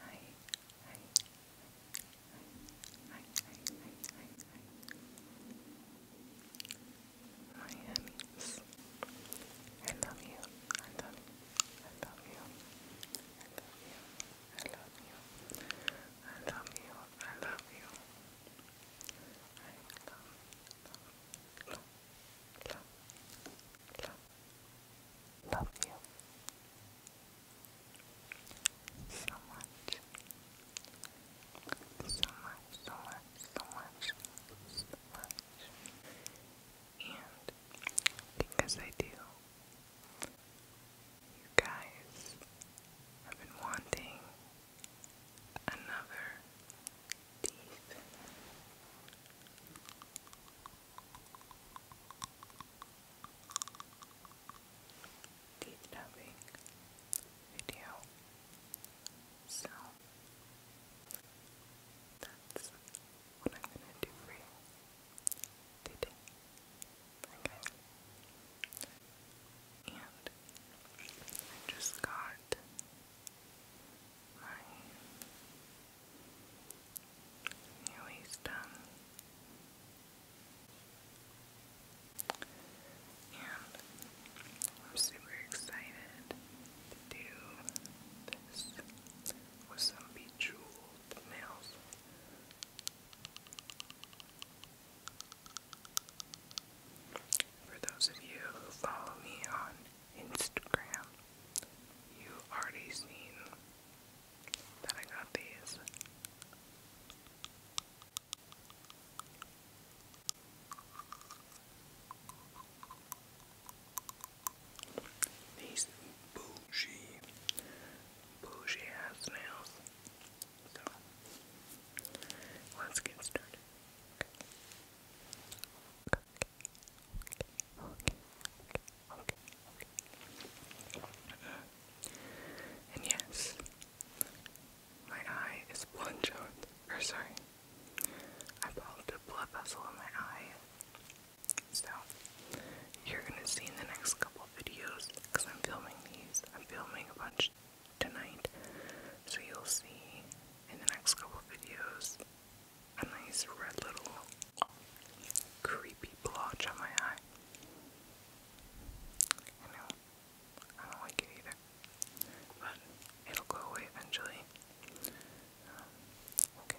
Hi, I love you, I love you, I love you, I love you, I love you, I love you, I love, love, love, love, love, love you so much, so much, so much, so much, so much. And because I do, you guys have been wanting another teeth deep video. So that's what I'm gonna do for you today. Okay. And I just got my Nearly done. And I'm super excited to do this with some bejeweled nails. For those of you who follow me on Instagram. You already seen that I got these. These bougie, bougie ass nails. So, let's get started okay, And yes, my eye is blood Or sorry, I pulled a blood vessel in my eye. So, you're gonna see in the next couple videos, because I'm filming these, I'm filming a bunch tonight. So, you'll see in the next couple videos a nice red little creepy blotch on my eye. I know, I don't like it either, but it'll go away eventually. Um, okay,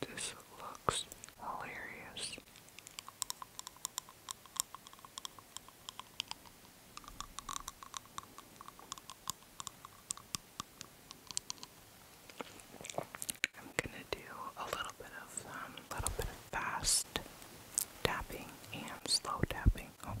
This looks hilarious. I'm gonna do a little bit of um, little bit of fast tapping and slow tapping everything. Okay.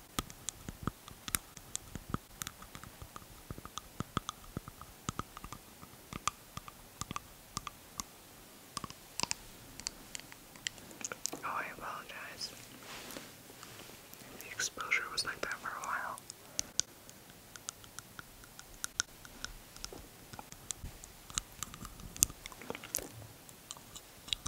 Oh, I apologize. The exposure was like that for a while.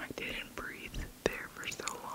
I didn't breathe there for so long.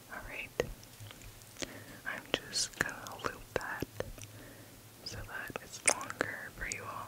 Alright. I'm just gonna loop that so that it's longer for you all.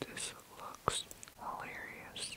This looks hilarious.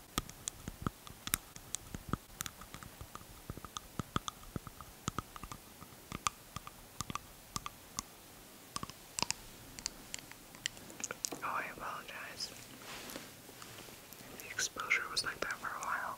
Oh, I apologize. The exposure was like that for a while.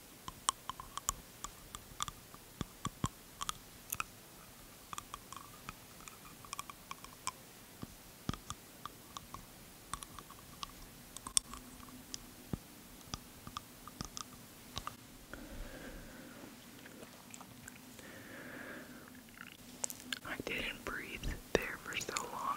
I didn't breathe there for so long.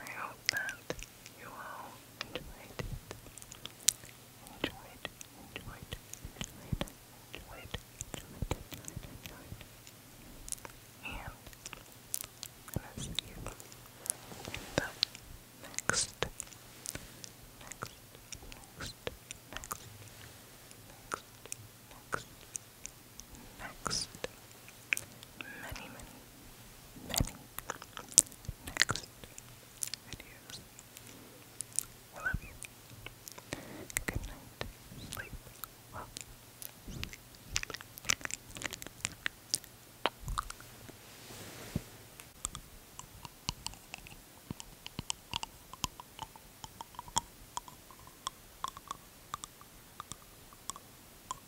I hope that you all enjoyed Enjoyed, enjoyed, enjoyed, enjoyed, enjoyed, enjoyed, And I'm see you next, next, next, next, next, next, next many, many, many next videos. love you. Good night. Sleep well.